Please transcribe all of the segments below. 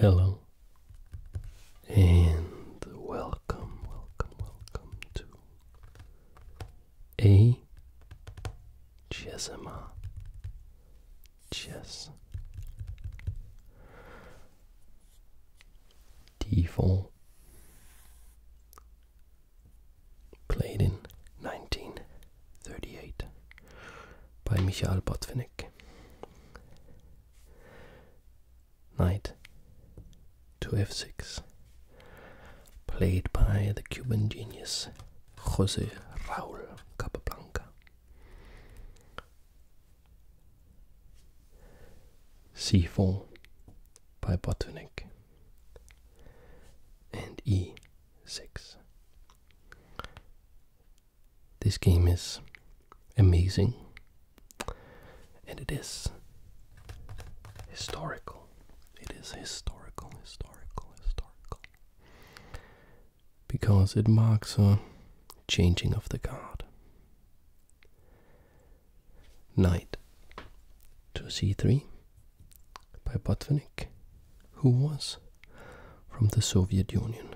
Hello and welcome, welcome, welcome to a Chessima Chess D4 played in 1938 by Michael Botvinnik. Knight to f6, played by the Cuban genius Jose Raul Capablanca. c4 by Botvinnik and e6. This game is amazing and it is historical. It is historical, historical, historical. Because it marks a changing of the guard. Knight to c3 by Botvinnik, who was from the Soviet Union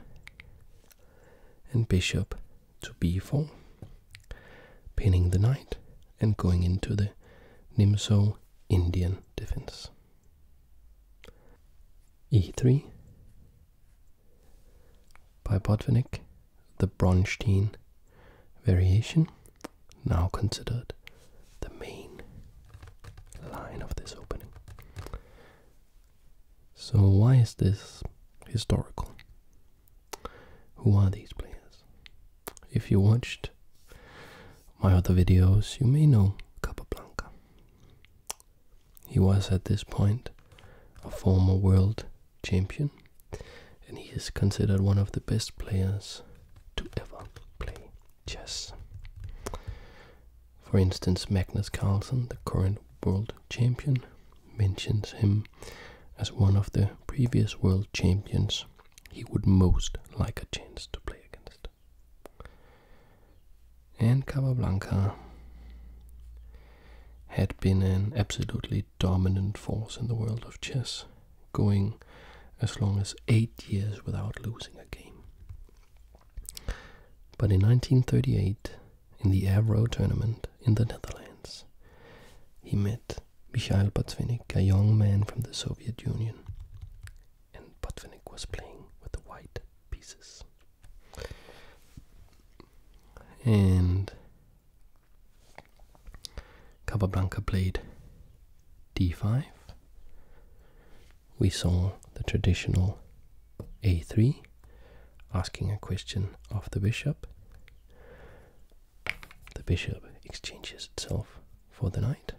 and bishop to b4, pinning the knight and going into the nimzo Indian defense. e3 by Botvinnik, the Bronstein variation, now considered the main line of this opening. So why is this historical? Who are these players? If you watched my other videos, you may know Capablanca. He was at this point a former world champion and he is considered one of the best players to ever play chess. For instance, Magnus Carlsen, the current world champion, mentions him as one of the previous world champions he would most like a chance to play against. And Capablanca had been an absolutely dominant force in the world of chess, going as long as eight years without losing a game. But in 1938, in the Avro tournament in the Netherlands, he met Mikhail Botvinnik, a young man from the Soviet Union, and Botvinnik was playing with the white pieces. And Capablanca played d5, we saw the traditional a3, asking a question of the bishop. The bishop exchanges itself for the knight.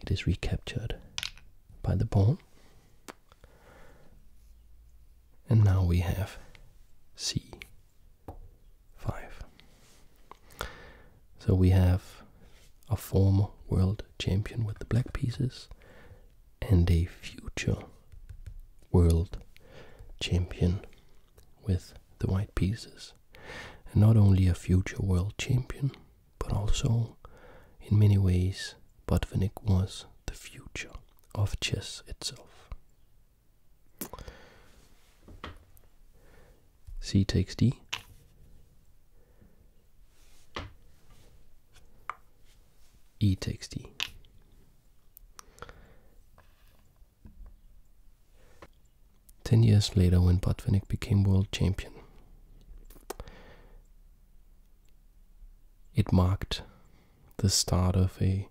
It is recaptured by the pawn. And now we have c5. So we have a former world champion with the black pieces and a future world champion with the white pieces. And not only a future world champion, but also in many ways Botvinnik was the future of chess itself. C takes D e takes d. Ten years later, when Botvinnik became world champion, it marked the start of a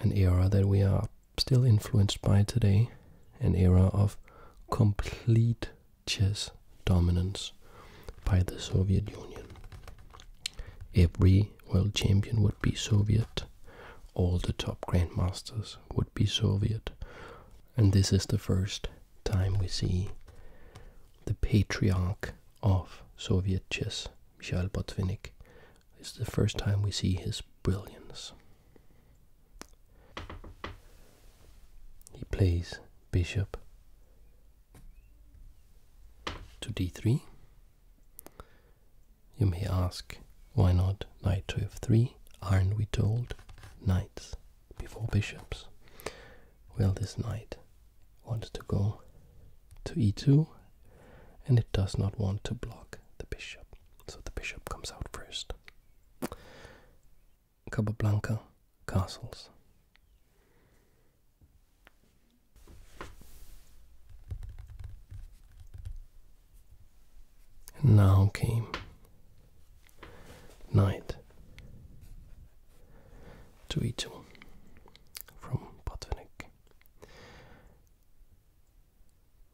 an era that we are still influenced by today, an era of complete chess dominance by the Soviet Union. Every world champion would be Soviet, all the top grandmasters would be Soviet, and this is the first time we see the patriarch of Soviet chess, Mikhail Botvinnik. is the first time we see his brilliance he plays bishop to d3. You may ask, why not knight to f3? Aren't we told knights before bishops? Well, this knight wants to go to e2 and it does not want to block the bishop, so the bishop comes out first. Casablanca castles. And now came night to each from Potvinik.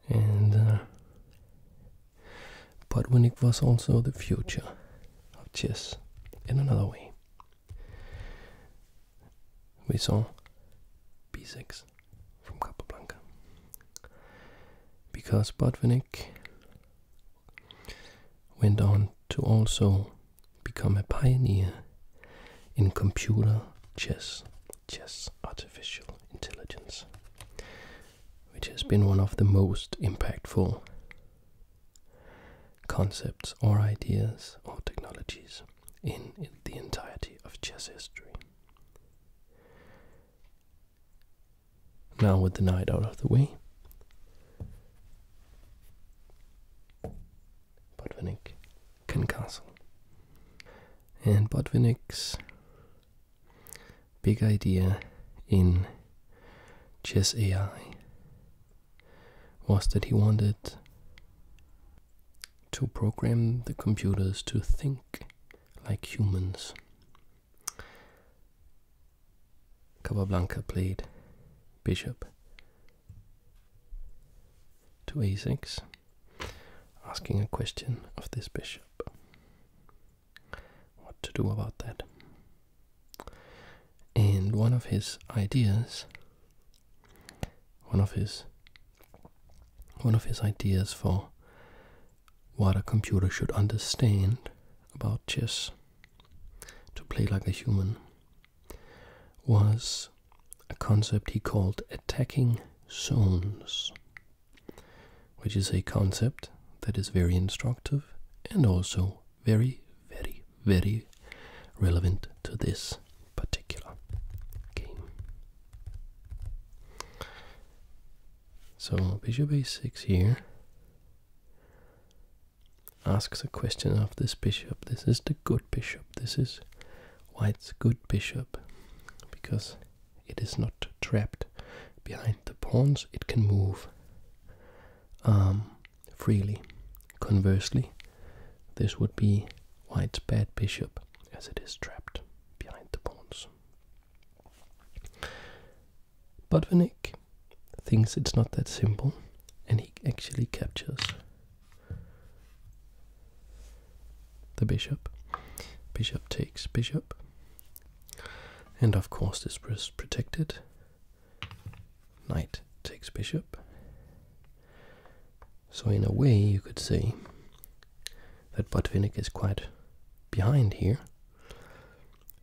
And uh, but when was also the future of chess in another way. We saw b6 from Capablanca because Botvinnik went on to also become a pioneer in computer chess, chess artificial intelligence, which has been one of the most impactful concepts or ideas or technologies in the entirety of chess history. Now, with the knight out of the way, Botvinnik can castle. And Botvinnik's big idea in Chess AI was that he wanted to program the computers to think like humans. Capablanca played bishop to a6, asking a question of this bishop what to do about that. And one of his ideas, one of his, one of his ideas for what a computer should understand about chess to play like a human was a concept he called attacking zones, which is a concept that is very instructive and also very, very, very relevant to this particular game. So, bishop Basic 6 here asks a question of this bishop. This is the good bishop. This is white's good bishop because it is not trapped behind the pawns. It can move um, freely. Conversely, this would be white's bad bishop, as it is trapped behind the pawns. But Vanek thinks it's not that simple, and he actually captures the bishop. Bishop takes bishop. And of course, this is protected Knight takes bishop. So in a way you could say that Botvinnik is quite behind here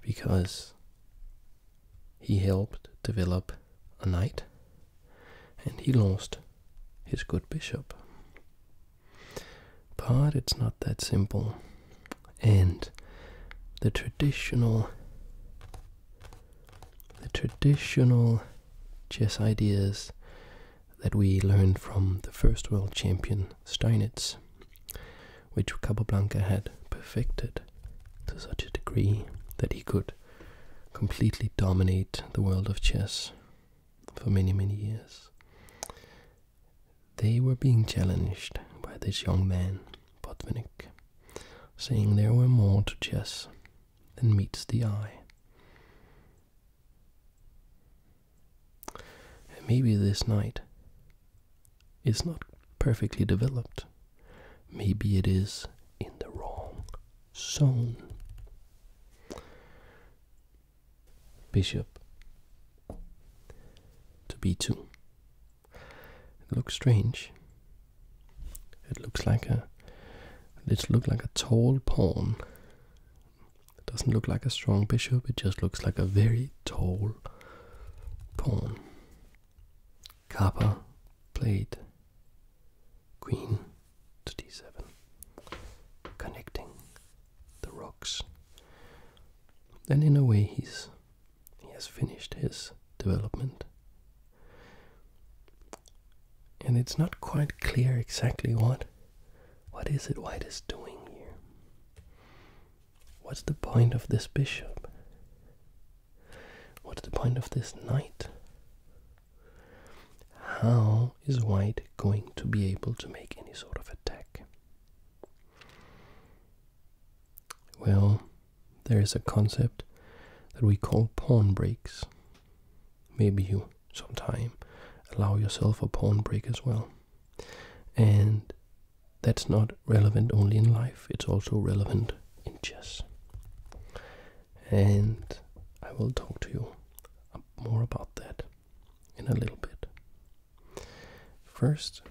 because he helped develop a knight and he lost his good bishop. But it's not that simple and the traditional the traditional chess ideas that we learned from the first world champion Steinitz, which Capablanca had perfected to such a degree that he could completely dominate the world of chess for many, many years. They were being challenged by this young man, Potvinik, saying there were more to chess than meets the eye. maybe this knight is not perfectly developed. Maybe it is in the wrong zone. Bishop to b2. It looks strange. It looks like a. It looks like a tall pawn. It doesn't look like a strong bishop. It just looks like a very tall pawn. Kappa played queen to d7, connecting the rocks. Then, in a way, he's he has finished his development. And it's not quite clear exactly what what is it White is doing here. What's the point of this bishop? What's the point of this knight? How is White going to be able to make any sort of attack? Well, there is a concept that we call pawn breaks. Maybe you sometime allow yourself a pawn break as well. And that's not relevant only in life, it's also relevant in chess. And I will talk to you more about that in a little bit. First,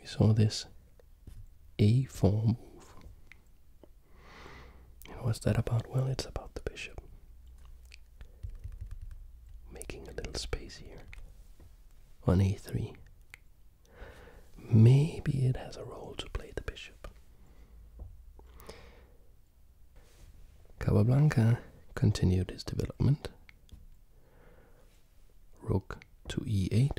we saw this a4 move. what's that about? Well, it's about the bishop making a little space here on a3. Maybe it has a role to play the bishop. Capablanca continued his development rook to e8,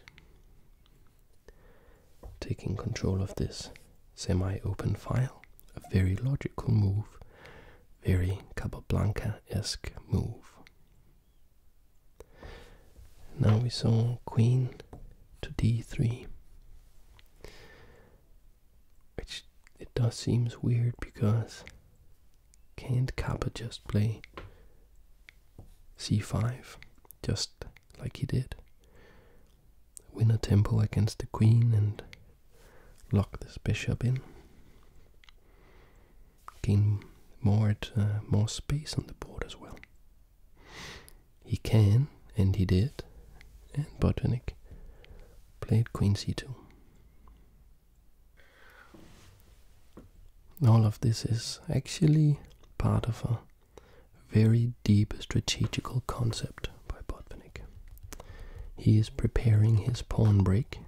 taking control of this semi-open file. A very logical move, very Blanca esque move. Now we saw queen to d3, which it does seems weird because can't Kappa just play c5, just like he did? Win a tempo against the queen and lock this bishop in. Gain more uh, more space on the board as well. He can, and he did, and Botvinnik played queen c2. All of this is actually part of a very deep strategical concept by Botvinnik. He is preparing his pawn break.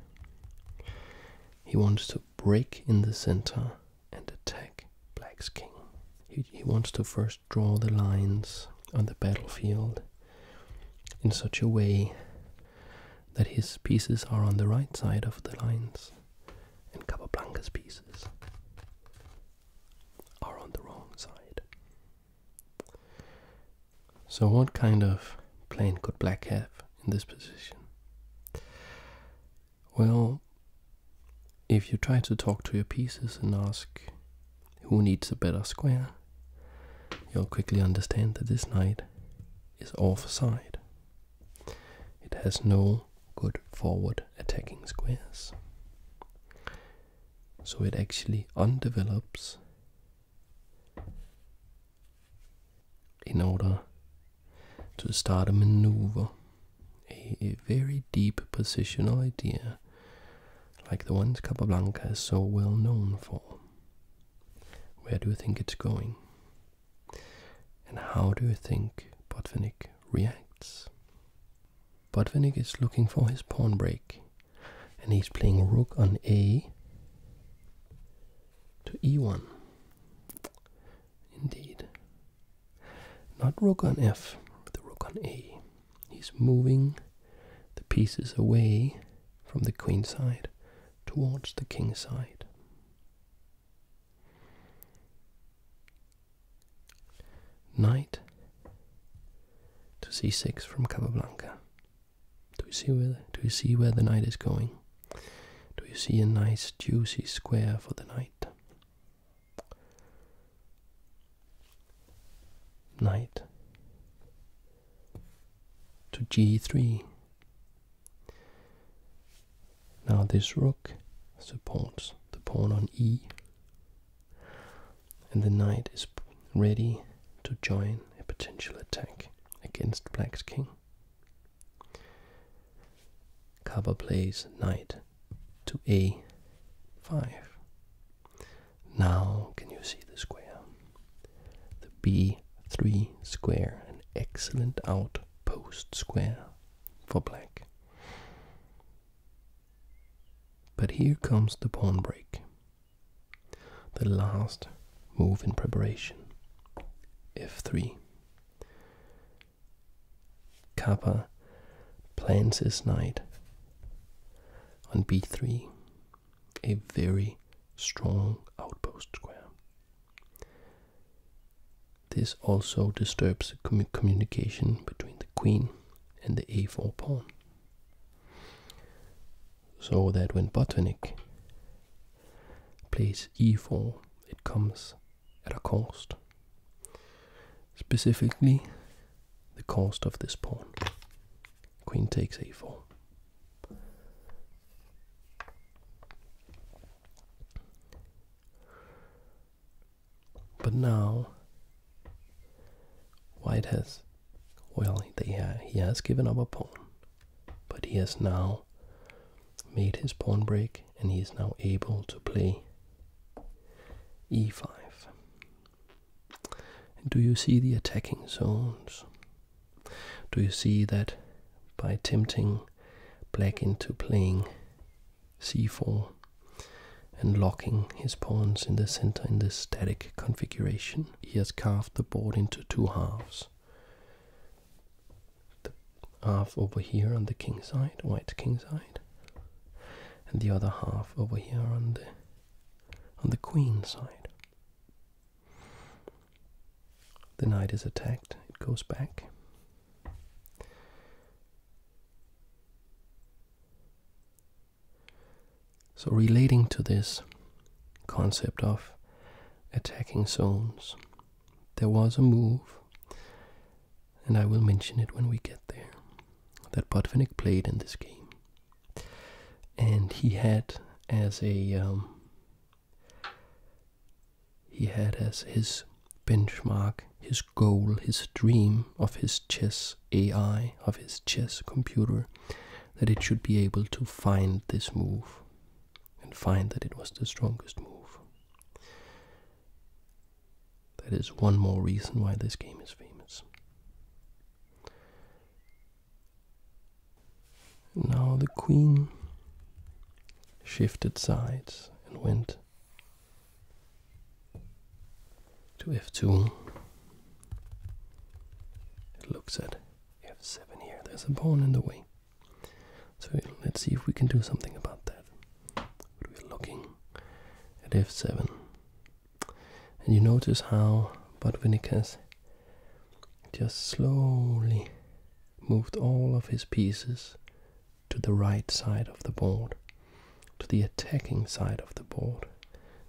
He wants to break in the center and attack black's king. He, he wants to first draw the lines on the battlefield in such a way that his pieces are on the right side of the lines and Capablanca's pieces are on the wrong side. So what kind of plane could black have in this position? Well, if you try to talk to your pieces and ask who needs a better square, you'll quickly understand that this knight is offside. It has no good forward attacking squares. So it actually undevelops in order to start a maneuver, a, very deep positional idea like the ones Capablanca is so well known for. Where do you think it's going? And how do you think Botvinnik reacts? Botvinnik is looking for his pawn break, and he's playing rook on a to e1. Indeed. Not rook on f, the rook on a. He's moving the pieces away from the queen side towards the king side. Knight to c6 from Capablanca. Do you see where do you see where the knight is going? Do you see a nice juicy square for the knight? Knight to g3 now this rook supports the pawn on e, and the knight is ready to join a potential attack against black's king. Kaba plays knight to a5. Now can you see the square? The b 3 square, an excellent outpost square for black. But here comes the pawn break, the last move in preparation, f3. Kappa plans his knight on b3, a very strong outpost square. This also disturbs the communication between the queen and the a4 pawn. So that when Botanik plays e4, it comes at a cost. Specifically, the cost of this pawn. Queen takes a4. But now, White has, well, he has given up a pawn, but he has now made his pawn break and he is now able to play e5. do you see the attacking zones? Do you see that by tempting black into playing c4 and locking his pawns in the center in this static configuration, he has carved the board into two halves. The half over here on the king side, white king side, and the other half over here on the on the queen side. The knight is attacked, it goes back. So, relating to this concept of attacking zones, there was a move, and I will mention it when we get there, that Botvinnik played in this game. And he had as a um, he had as his benchmark, his goal, his dream of his chess AI, of his chess computer, that it should be able to find this move and find that it was the strongest move. That is one more reason why this game is famous. Now the queen shifted sides and went to f2. It looks at f7 here. There's a pawn in the way. So let's see if we can do something about that. we're looking at f7. And you notice how Botvinnik has just slowly moved all of his pieces to the right side of the board, to the attacking side of the board,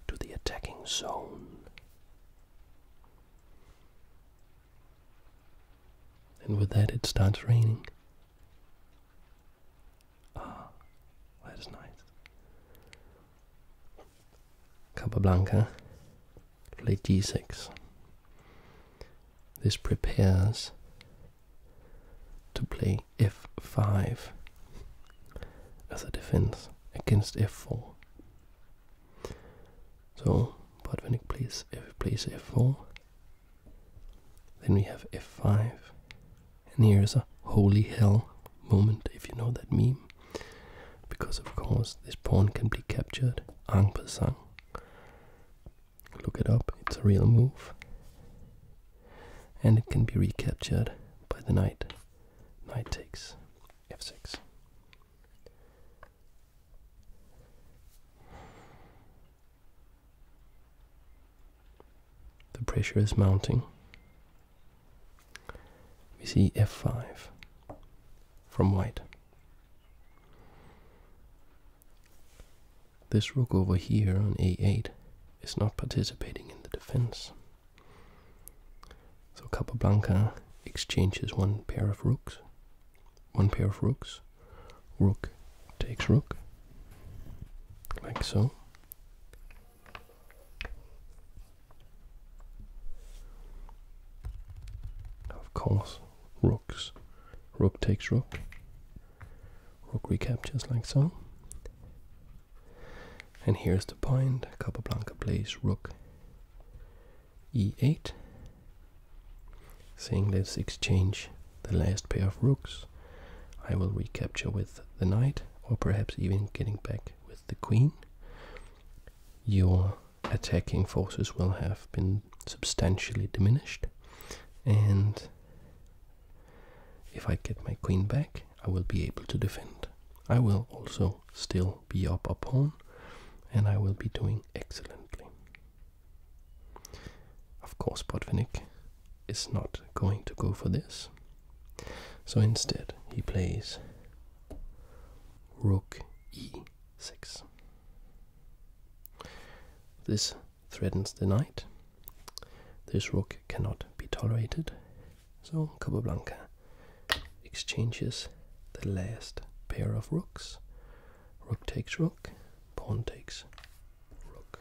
to the attacking zone. And with that, it starts raining. Ah, that's nice. Capablanca Play d 6 This prepares to play f5 as a defense against f4. So, but when it plays, if it plays f4, then we have f5. And here's a holy hell moment, if you know that meme because of course this pawn can be captured en passant. Look it up, it's a real move. And it can be recaptured by the knight. Knight takes f6. The pressure is mounting. We see f5 from white. This rook over here on a8 is not participating in the defense. So Capablanca exchanges one pair of rooks. One pair of rooks. Rook takes rook. Like so. Of course, rooks. Rook takes rook. Rook recaptures like so. And here's the point. Capablanca plays rook e8, saying let's exchange the last pair of rooks. I will recapture with the knight, or perhaps even getting back with the queen. Your attacking forces will have been substantially diminished and if I get my queen back I will be able to defend. I will also still be up a pawn and I will be doing excellently. Of course Botvinnik is not going to go for this so instead he plays rook e 6. This threatens the knight. This rook cannot be tolerated, so Capablanca exchanges the last pair of rooks. Rook takes rook, pawn takes rook.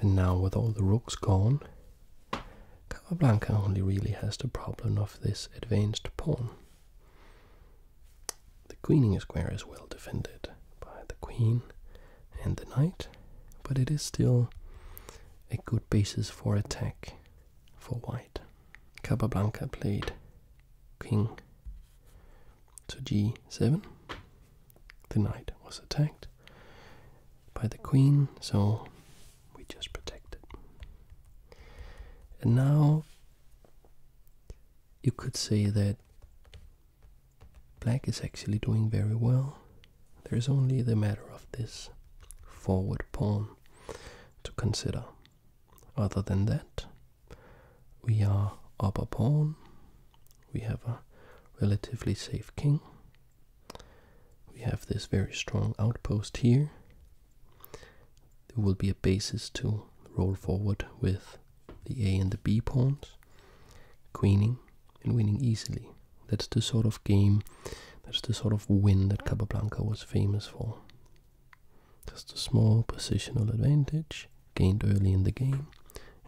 And now, with all the rooks gone, Capablanca only really has the problem of this advanced pawn. The queening square is well defended by the queen and the knight, but it is still a good basis for attack for white. Capablanca played king to g7. The knight was attacked by the queen, so we just protected. And now you could say that black is actually doing very well. There's only the matter of this forward pawn to consider. Other than that, we are up a pawn, we have a relatively safe king, we have this very strong outpost here, there will be a basis to roll forward with the A and the B pawns, queening and winning easily. That's the sort of game, that's the sort of win that Capablanca was famous for. Just a small positional advantage gained early in the game,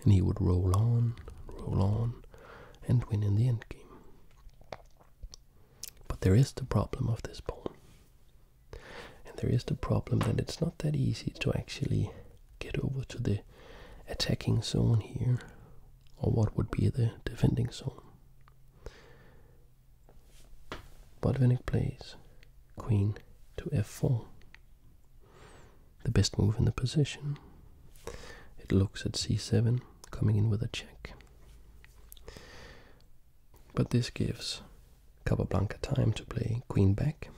and he would roll on, roll on, and win in the endgame. But there is the problem of this pawn. And there is the problem that it's not that easy to actually get over to the attacking zone here, or what would be the defending zone. Botvinnik plays queen to f4, the best move in the position. It looks at c7, coming in with a check. But this gives Capablanca time to play queen back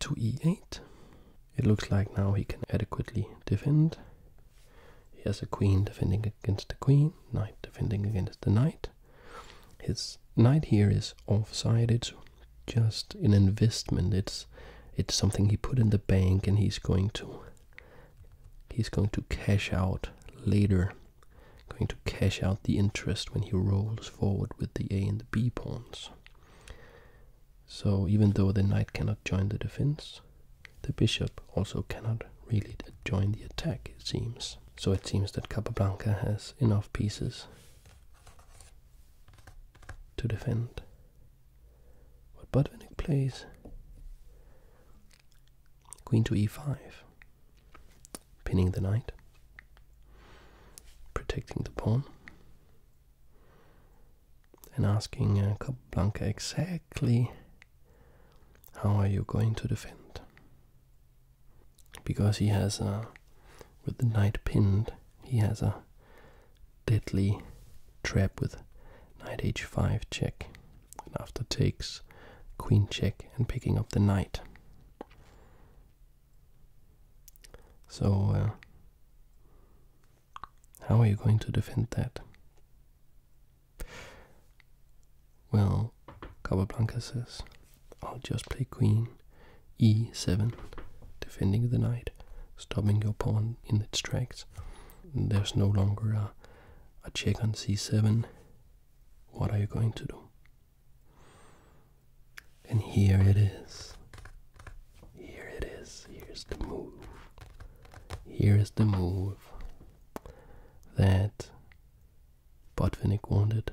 to e8. It looks like now he can adequately defend. He has a queen defending against the queen, knight defending against the knight. His knight here is offside. It's just an investment. It's it's something he put in the bank, and he's going to he's going to cash out later going to cash out the interest when he rolls forward with the a and the b pawns so even though the knight cannot join the defense the bishop also cannot really join the attack it seems so it seems that capablanca has enough pieces to defend what Botvinnik plays Queen to e5, pinning the knight, protecting the pawn, and asking uh, Capablanca exactly how are you going to defend. Because he has a, with the knight pinned, he has a deadly trap with knight h5 check and after takes queen check and picking up the knight. So, uh, how are you going to defend that? Well, Blanca says, I'll just play queen e7, defending the knight, stopping your pawn in its tracks. There's no longer a, a check on c7, what are you going to do? And here it is. Here it is. Here's the move. Here is the move that Botvinnik wanted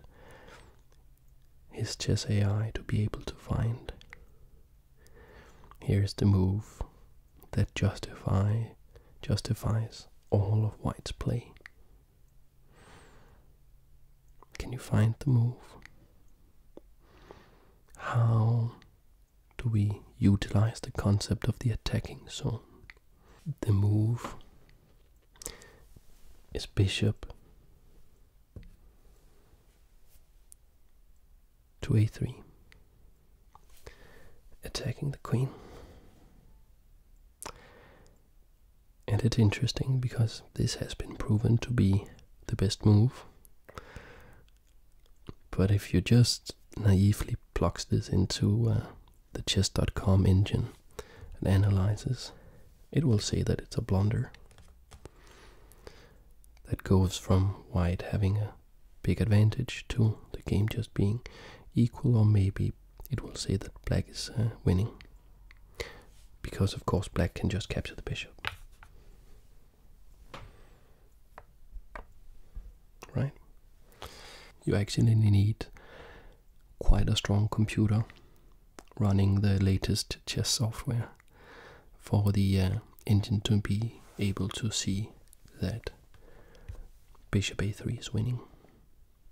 his chess AI to be able to find. Here is the move that justify justifies all of White's play. Can you find the move? How do we utilize the concept of the attacking zone? The move is bishop to a3 attacking the queen. And it's interesting because this has been proven to be the best move. But if you just naively plugs this into uh, the chess.com engine and analyzes, it will say that it's a blunder. That goes from white having a big advantage to the game just being equal, or maybe it will say that black is uh, winning. Because, of course, black can just capture the bishop. Right? You actually need quite a strong computer running the latest chess software for the uh, engine to be able to see that bishop a3 is winning,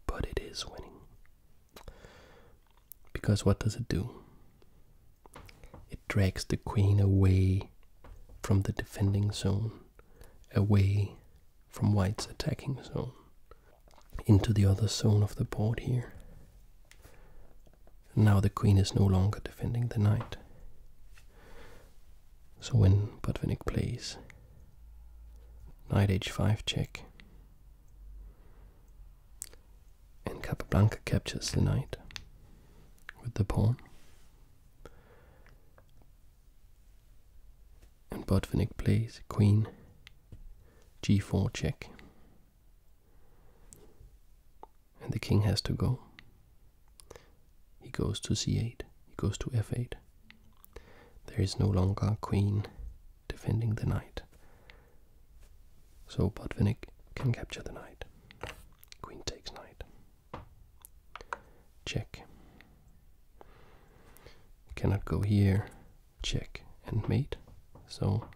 but it is winning. Because what does it do? It drags the queen away from the defending zone, away from white's attacking zone, into the other zone of the board here. Now the queen is no longer defending the knight. So when Botvinnik plays knight h5 check and Capablanca captures the knight with the pawn and Botvinnik plays queen g4 check and the king has to go he goes to c8. He goes to f8. There is no longer queen defending the knight. So Botvinnik can capture the knight. Queen takes knight. Check. Cannot go here. Check and mate. So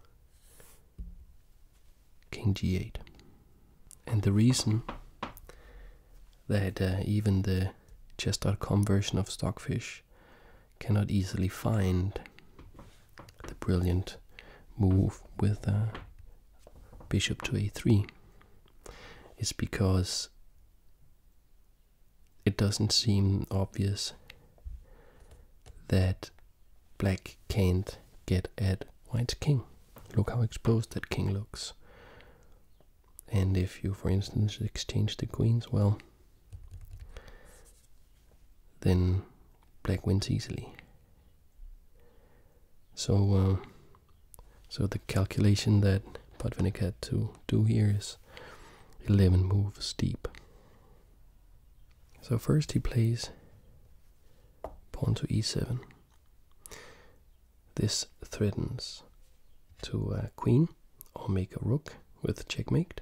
king g8. And the reason that uh, even the chess.com version of Stockfish cannot easily find the brilliant move with uh, bishop to a3 is because it doesn't seem obvious that black can't get at white's king. Look how exposed that king looks. And if you, for instance, exchange the queens, well, then black wins easily. So, uh, so the calculation that Potvinnik had to do here is 11 moves deep. So first he plays pawn to e7. This threatens to uh, queen or make a rook with checkmate.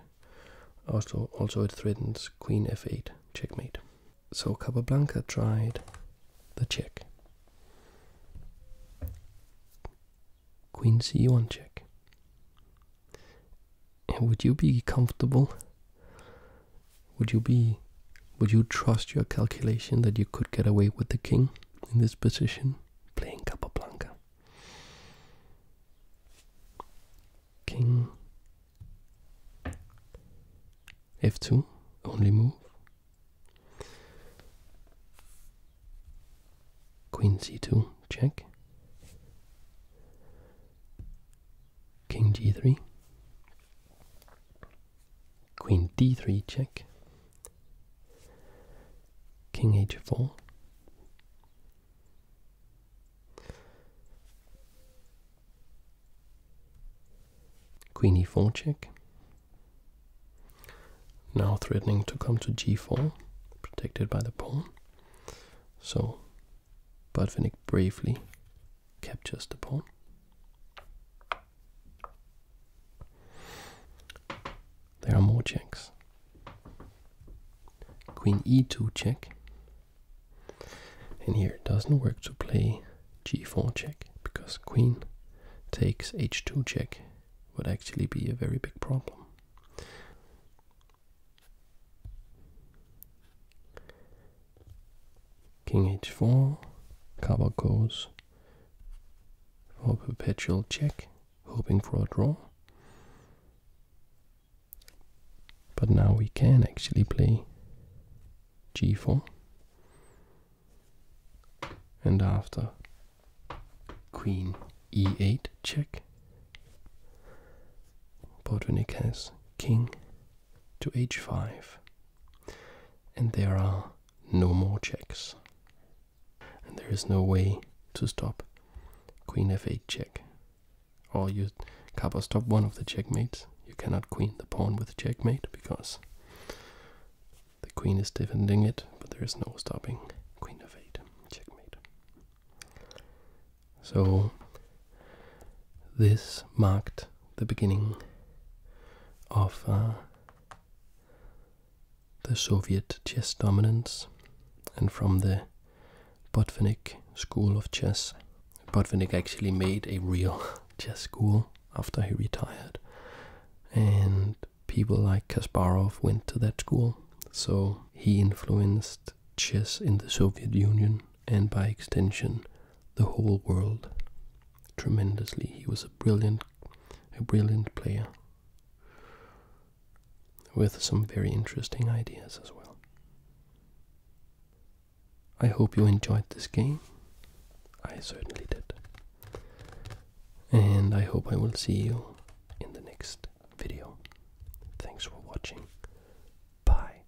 Also, also it threatens queen f8 checkmate. So Capablanca tried the check. Queen c1 check. would you be comfortable? Would you be would you trust your calculation that you could get away with the king in this position? Playing Capablanca. King f2, only move. Queen c2, check. King g3, Queen d3 check. King h4. Queen e4 check. Now threatening to come to g4, protected by the pawn. So Botvinnik bravely captures the pawn. There are more checks. Queen e2 check. And here it doesn't work to play g4 check because queen takes h2 check would actually be a very big problem. King h4, cover goes for perpetual check, hoping for a draw. But now we can actually play g4. And after queen e8 check, Botvinnik has king to h5. And there are no more checks. And there is no way to stop queen f8 check. Or you kappa stop one of the checkmates. You cannot queen the pawn with checkmate because the queen is defending it, but there is no stopping queen f8 checkmate. So this marked the beginning of uh, the Soviet chess dominance and from the Botvinnik school of chess. Botvinnik actually made a real chess school after he retired, and people like Kasparov went to that school, so he influenced chess in the Soviet Union and by extension the whole world tremendously. He was a brilliant, a brilliant player with some very interesting ideas as well. I hope you enjoyed this game. I certainly did. And I hope I will see you in the next video. Thanks for watching. Bye.